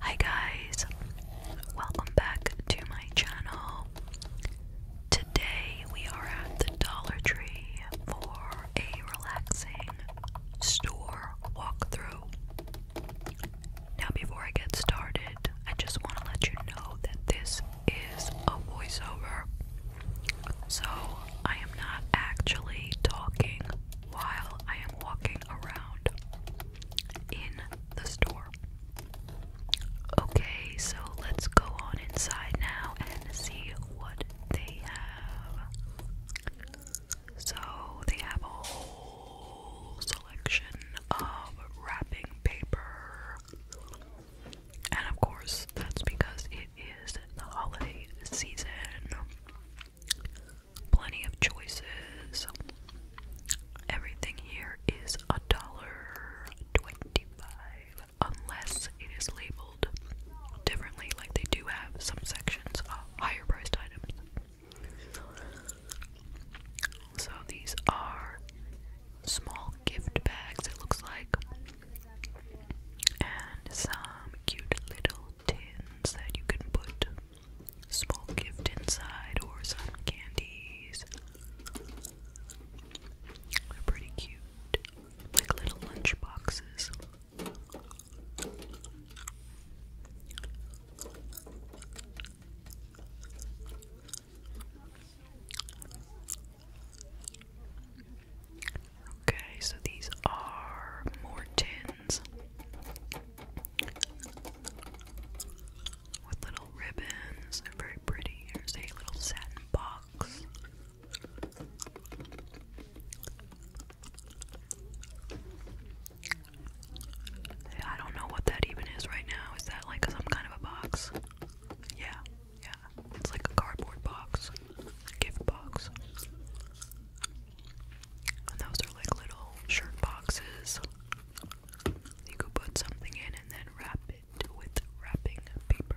Hi guys, welcome back to my channel. Today we are at the Dollar Tree for a relaxing store walk-through. Now, before I get started, I just want to let you know that this is a voiceover. So, I am not actually talking while I am walking around in the store. Okay, so let's go on inside now and see what they have. So, they have a whole selection of wrapping paper. And of course, that's because it is the holiday season. Plenty of choices. Everything here is a dollar twenty-five, unless it is labeled differently. Like they do have some sections of higher-priced items. So these are small gift bags. It looks like, and some cute little tins that you can put small gift inside or some candies. They're pretty cute, like little lunch boxes. Okay, so these are more tins with little ribbons. They're very pretty. Here's a little satin box. I don't know what that even is right now. Is that like some kind of a box? Yeah, yeah. It's like a cardboard box, a gift box. And those are like little shirt boxes. You could put something in and then wrap it with wrapping paper.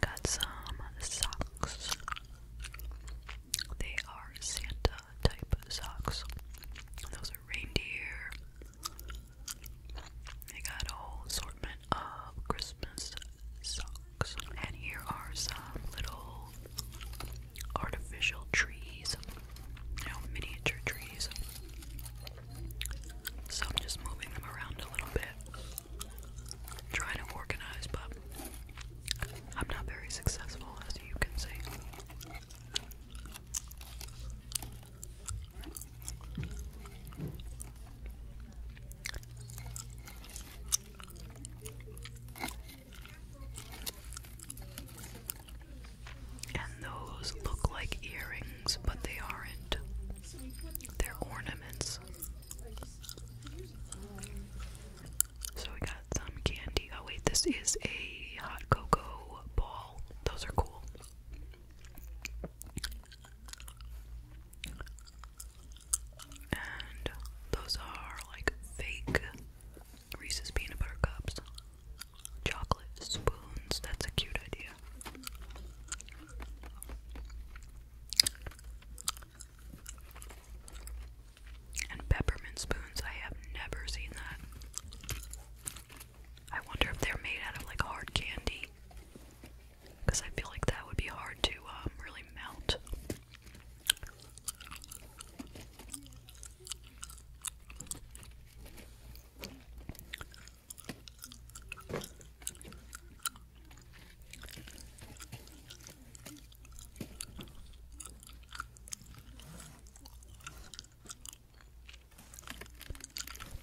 Got some socks. They are Santa type socks. Those are reindeer. They got a assortment of Christmas socks. And here are some little artificial trees. You know, miniature trees. So I'm just moving them around a little bit. Trying to organize, but I'm not very successful as you can see. And those look like earrings, but they aren't. They're ornaments. So we got some candy. Oh, wait, this is a hot cocoa ball. Those are cool. And those are like fake Reese's peanut butter cups. Chocolate spoons, that's a cute idea. And peppermint spoons, I have never seen that. I wonder if they're made out of like hard candy because I feel like that would be hard to um, really melt.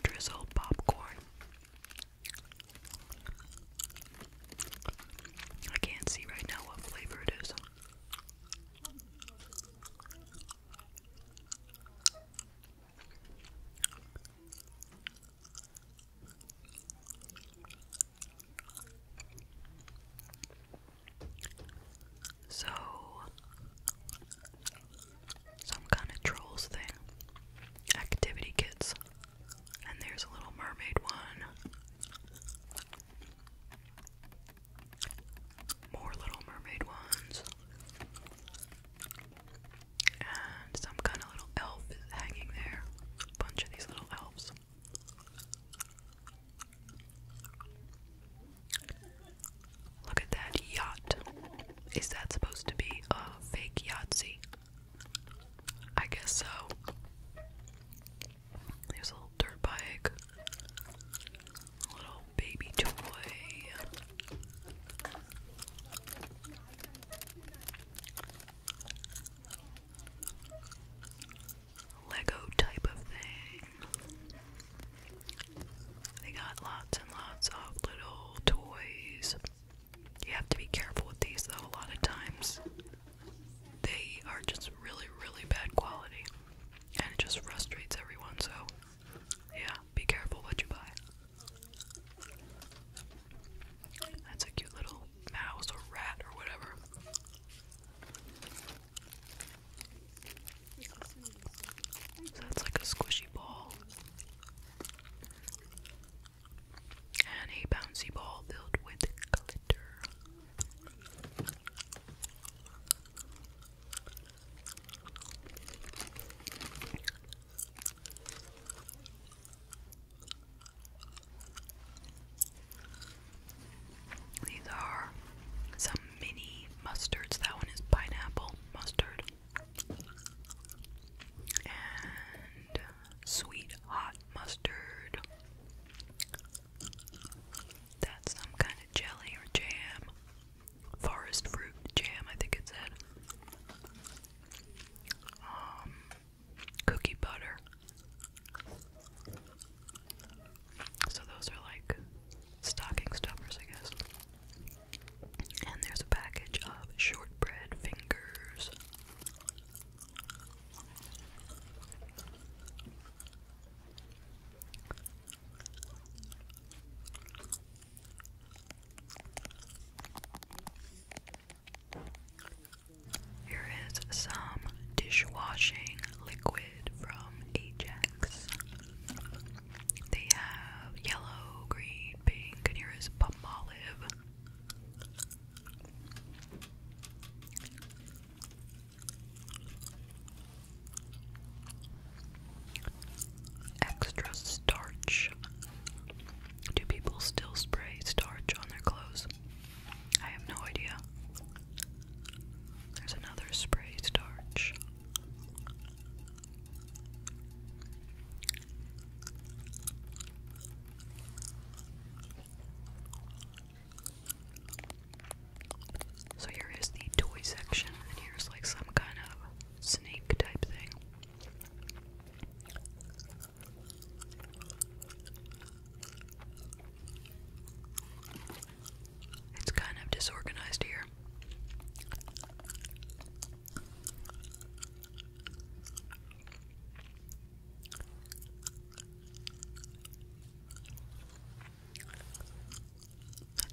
Drizzle popcorn I can't see right now what flavor it is. So, some kind of trolls thing. Activity kits. And there's a little mermaid one. More little mermaid ones. And some kind of little elf is hanging there. A bunch of these little elves. Look at that yacht. Is that supposed to be a fake Yahtzee? I guess so. There's little dirt bike, little baby toy. Lego type of thing. They got lots and lots of little toys. You have to be careful with these though, a lot of times. They are just really, really bad quality. And it just frustrates everyone, so yeah, be careful what you buy. That's a cute little mouse or rat or whatever. that's like a squishy ball and a bouncy ball filled with glitter. These are some mini mustards. That one is pineapple mustard and sweet hot mustard. That's some kind of jelly or jam. Forest fruit jam, I think it said. Um, cookie butter. So those are like stocking stuffers, I guess. And there's a package of shortbread fingers. Here is some dishwashing liquid from Ajax. They have yellow, green, pink, and here is palm olive. Extra starch. Do people still spray starch on their clothes? I have no idea. There's another spray starch. So here is the toy section, and here's like some kind of snake type thing. It's kind of disorganized here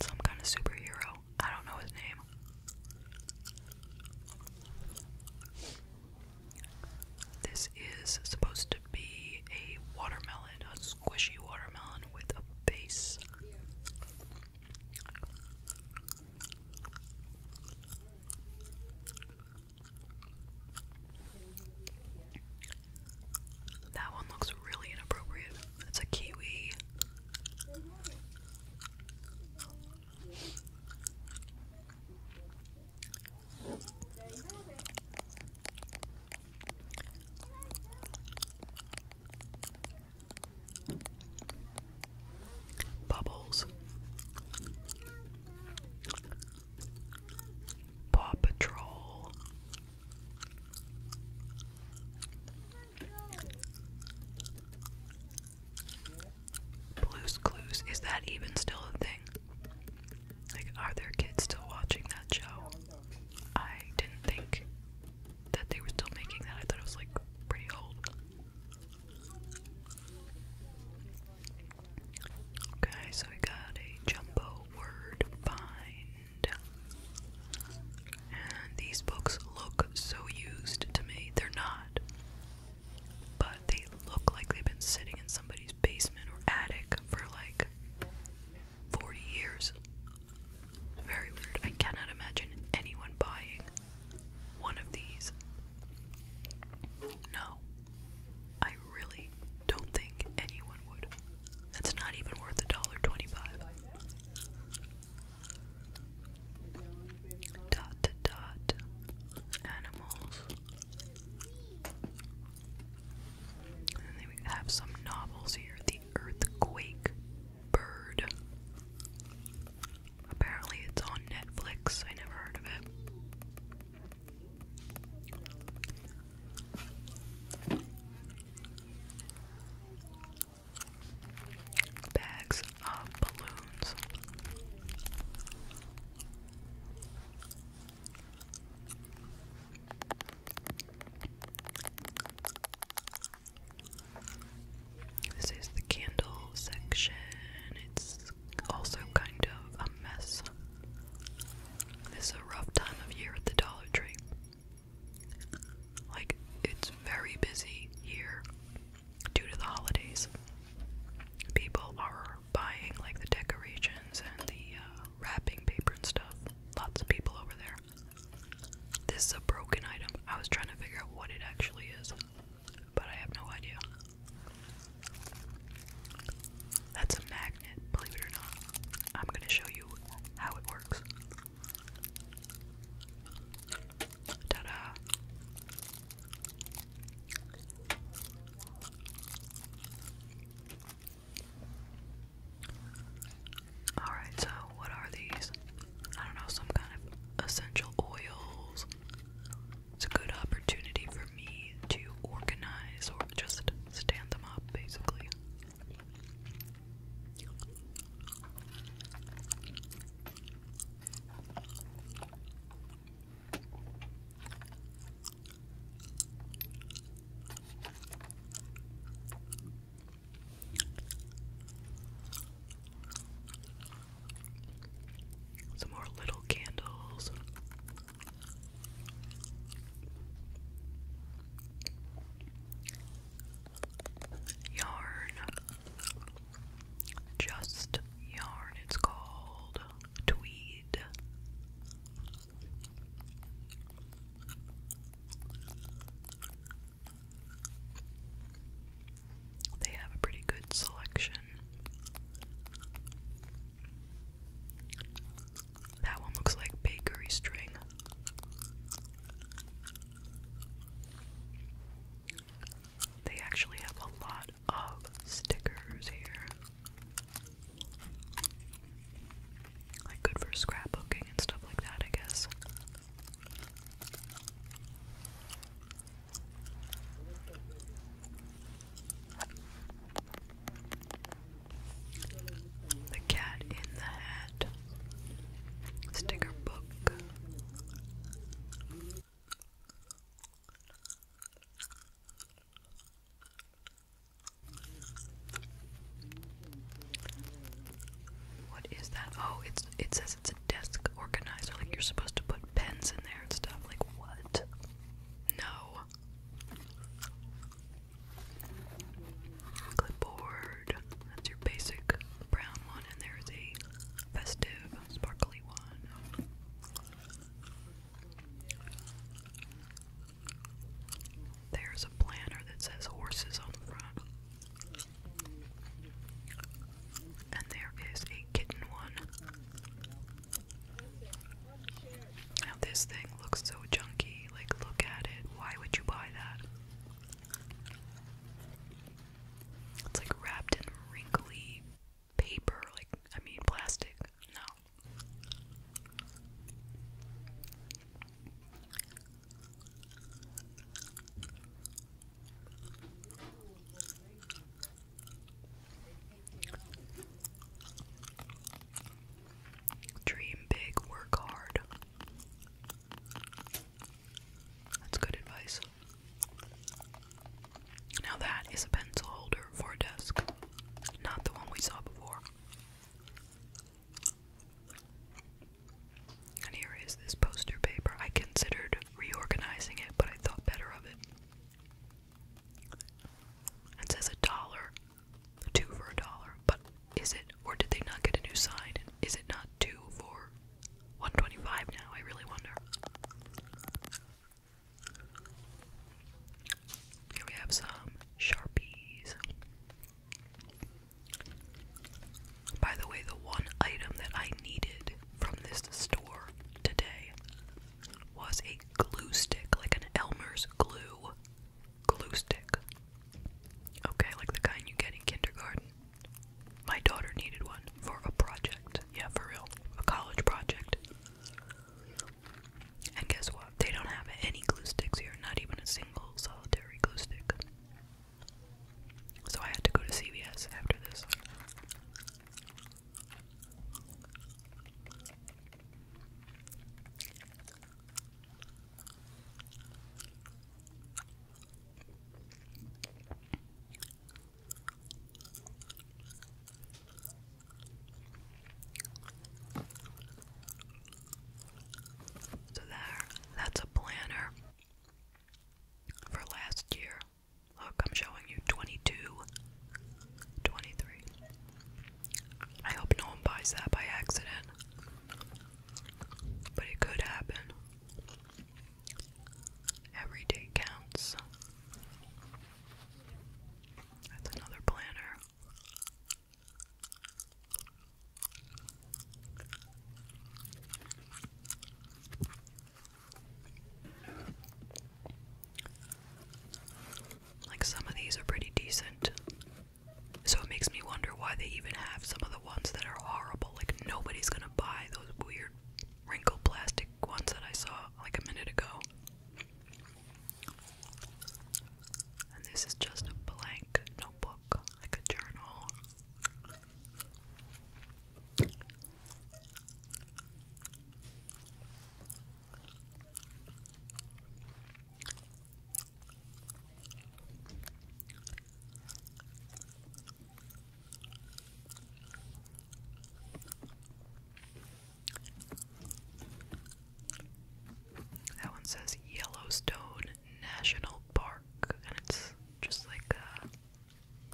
some kind of superhero. I don't know his name. This is supposed to be a watermelon, a squishy watermelon with a face. That one looks really inappropriate. It's a kiwi. Bubbles. Paw Patrol. Blue's Clues. Is that even still a thing? Like, are there kids still watching that show? I didn't think that they were still making that. I thought it was like pretty old. Okay, so we got a jumbo word bind. And these books look so used to me. They're not. But they look like they've been sitting in somebody's basement or attic for like 40 years. Very weird. I cannot imagine anyone buying one of these. No. I really don't think anyone would. That's not even worth a dollar twenty-five. Dot to dot animals. then we have some novels here. The Earthquake Bird. Apparently, it's on Netflix. I never heard of it. Bags of balloons. This is the candle section. It's also kind of a mess. This is a rough time of year at the Dollar Tree. Like, it's very busy here due to the holidays. People are buying like the decorations and the uh, wrapping paper and stuff. Lots of people over there. This is a broken item. I was trying to figure out what it actually is, but I have no idea. That's a magnet, believe it or not. I'm going to show you how it works. Ta da! Alright, so what are these? I don't know, some kind of essential oils. It's a good opportunity for me to organize or just stand them up, basically. Some more little candles. Yarn. Just yarn, it's called tweed. They have a pretty good selection. That one looks like bakery string. They actually have a lot of stickers here. Like good for scrapbooking and stuff like that, I guess. The Cat in the Hat sticker book. What is that? Oh, it's it says it's a desk organizer. Like you're supposed to put pens in there and stuff. Like what? No. Clipboard. That's your basic brown one, and there's a festive, sparkly one. There's a planner that says horses on the front. And there is a kitten one. Now, this thing looks so junky. Like, look at it. Why would you buy that? It's like wrapped in wrinkly paper. Like, I mean, plastic. No. Dream big, work hard. That's good advice. Now, that is a pencil holder for a desk, not the one we saw before. And here is this poster paper. I considered reorganizing it, but I thought better of it. And says a dollar, two for a dollar, but is it, or did they not get a new sign? Is it not two for 125 now? I really wonder. Here we have some Sharpies. By the way, the one item that I needed from this store today was a glue stick, like an Elmer's glue glue stick. Okay, like the kind you get in kindergarten. My daughter needed one for a project. Yeah, for real. A college project. And guess what? They don't have any glue sticks here, not even a single solitary military glue stick. So I had to go to CVS after this. So there, that's a planner for last year. Look, I'm showing you 22, I hope no one buys that by accident. But it could happen. Every day counts. That's another planner. Like some of these are pretty decent. So it makes me wonder why they even have some of the ones that are horrible. Like nobody's gonna buy those weird wrinkled plastic ones that I saw like a minute ago. And this is just a blank notebook, like a journal. That one says Yellowstone National Park, and it's just like uh,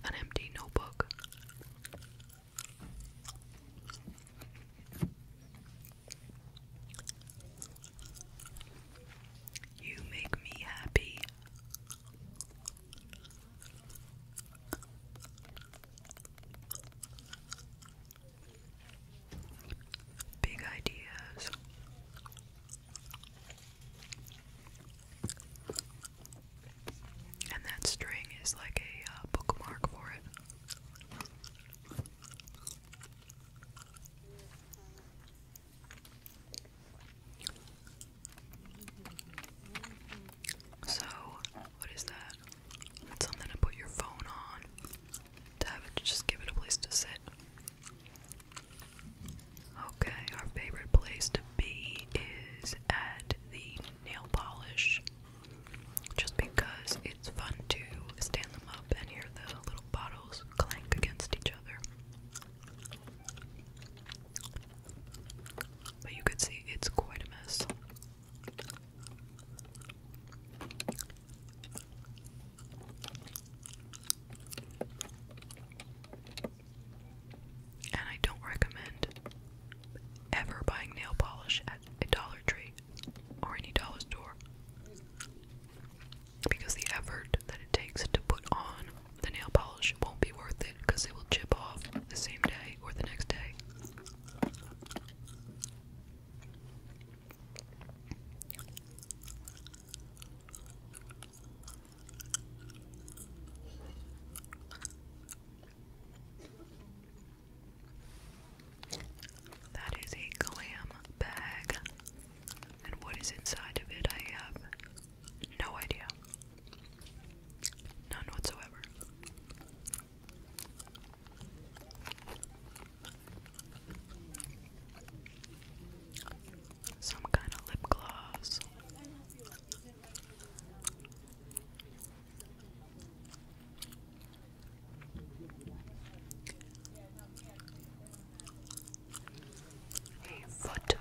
an empty notebook. You make me happy big ideas. And that string is like a uh, bookmark for it. So, what is that? something to put your phone on to have it just give it a place to sit. Okay, our favorite place to be is at the nail polish. Just because it's fun to stand them up and hear the little bottles clank against each other. But you could see it's quite a mess. And I don't recommend ever buying nail polish at a Dollar Tree or any dollar store because the effort that it takes to put on the nail polish won't be worth it because it will chip off the same day or the next day. That is a clam bag, and what is inside of it, I have no idea. None whatsoever. Some kind of lip gloss. A foot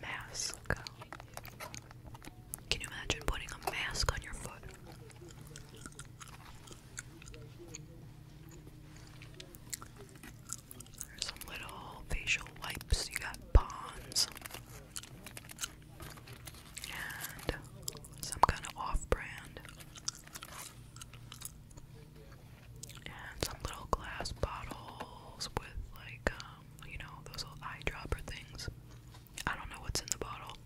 mask. Can you imagine putting a mask on your foot? There's some little facial wipes. You got Bonds and some kind of off-brand, and some little glass bottles with like um, you know those little eyedropper things. I don't know what's in the bottle,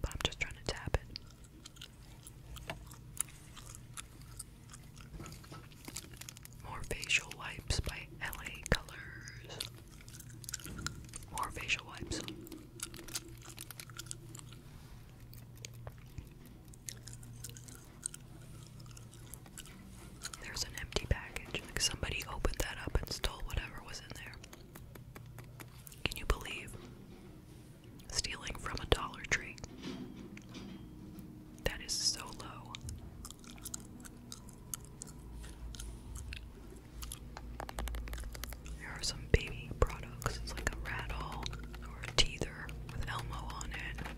but I'm just trying to tap it. More facial wipes by LA Colors. More facial wipes. There's an empty package. Like somebody opened that up and stole whatever was in there. Can you believe stealing from a Dollar Tree? That is so low. There are some baby products. It's like a rattle or a teether with Elmo on it.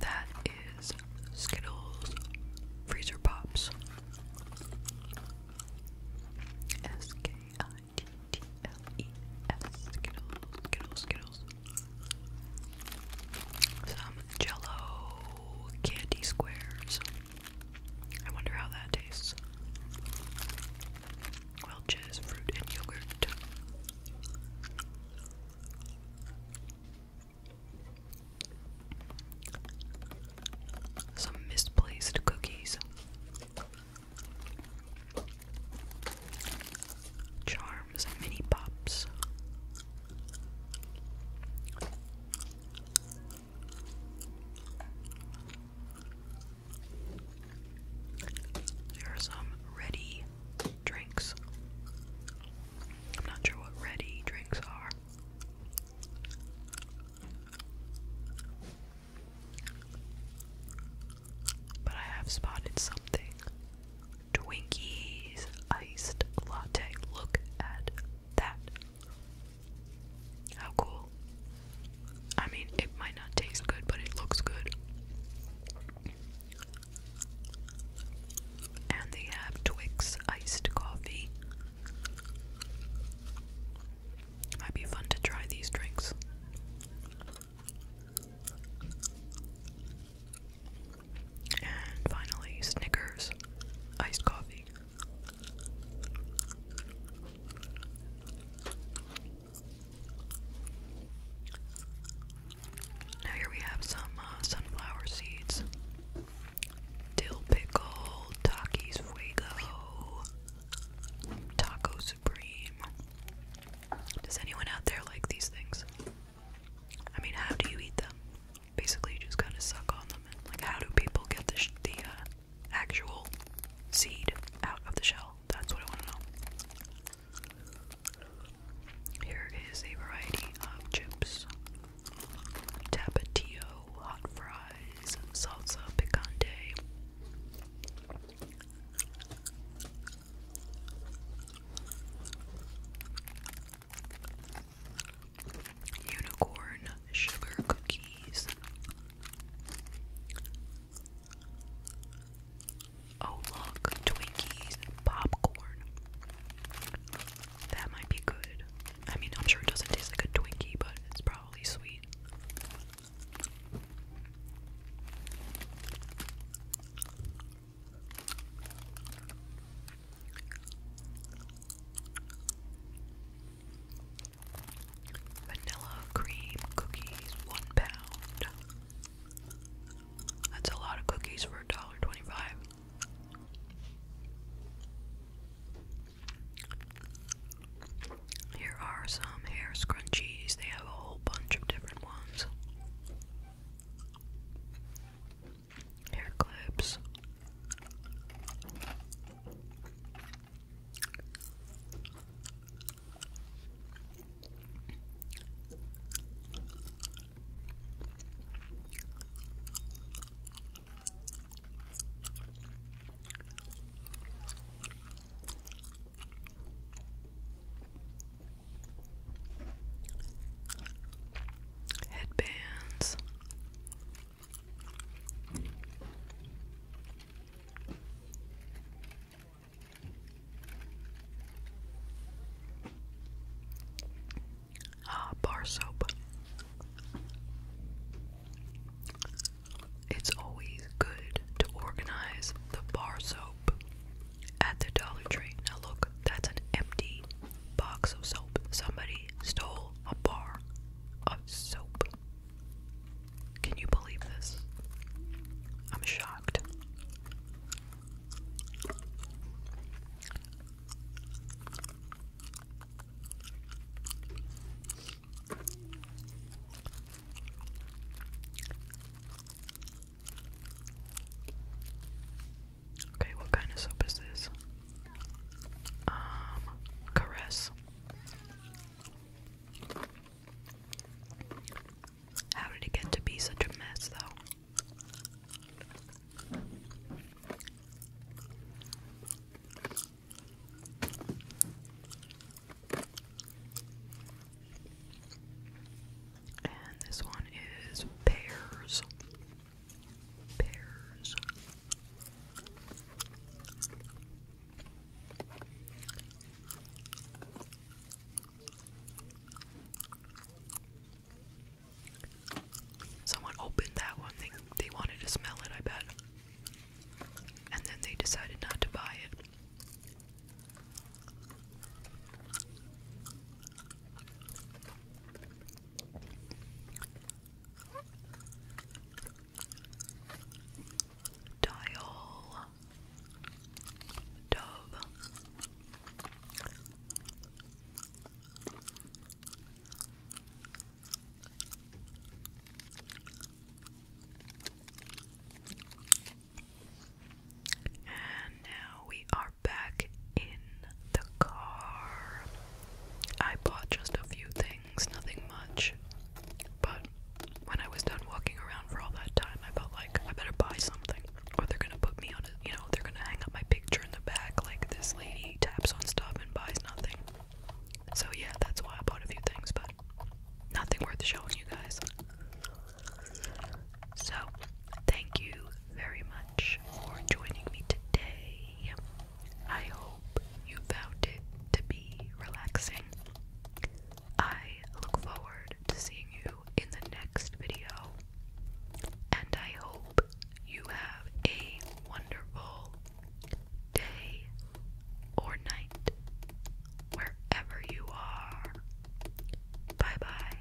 That is Skittles Freezer Pops. S K I T T L E S Skittles, Skittles, Skittles. Some jello candy squares. I wonder how that tastes. Welch's fruit and yogurt. Some misplaced cookies. Charms and mini pops. There are some ready drinks. I'm not sure what ready drinks are. But I have spotted something. Twinkies iced latte. Look at that. How cool. I mean, it might not taste good, but it looks good. And they Twix iced coffee. Might be fun to try these drinks. And finally, Snickers iced coffee. Now here we have some uh, sunflower seeds, dill pickle, Takis Fuego, Taco Supreme. Does anyone out there like these things? I mean, how do you eat them? Basically, you just kind of suck on them. like, how do people get the, the uh, actual seed out of the shell? That's what I want to know. Here is a variety of chips tapatio, hot fries, salsa picante. Unicorn sugar cookies, Oh, look, Twinkies and popcorn. That might be good. I mean, I'm sure it doesn't taste like a Twinkie, but it's probably sweet. Vanilla cream cookies, one pound. That's a lot of cookies for a dollar twenty-five. Here are some hair scrunchies. They have a whole bunch of different ones. Hair clips. Headbands. Ah, bar soap. It's always good to organize the bar soap at the Dollar Tree. Now, look, that's an empty box of soap. Somebody stole a bar of soap. Can you believe this? I'm shocked. Okay, what kind of soap is this? Um, caress. How did it get to be such a mess, though? And this one is pears. Pears. Someone opened that one. They, they wanted to smell it, I bet. And then they decided not to buy it. Dial Dove and now we are back in the car. I bought just a few things things, nothing much. But when I was done walking around for all that time, I felt like I better buy something, or they're gonna put me on a, you know, they're gonna hang up my picture in the back like this lady taps on stuff and buys nothing. So yeah, that's why I bought a few things, but nothing worth showing you guys. So, thank you very much for joining me today. I hope you found it to be relaxing. I look forward to seeing you in the next video, and I hope you have a wonderful day or night wherever you are. Bye bye.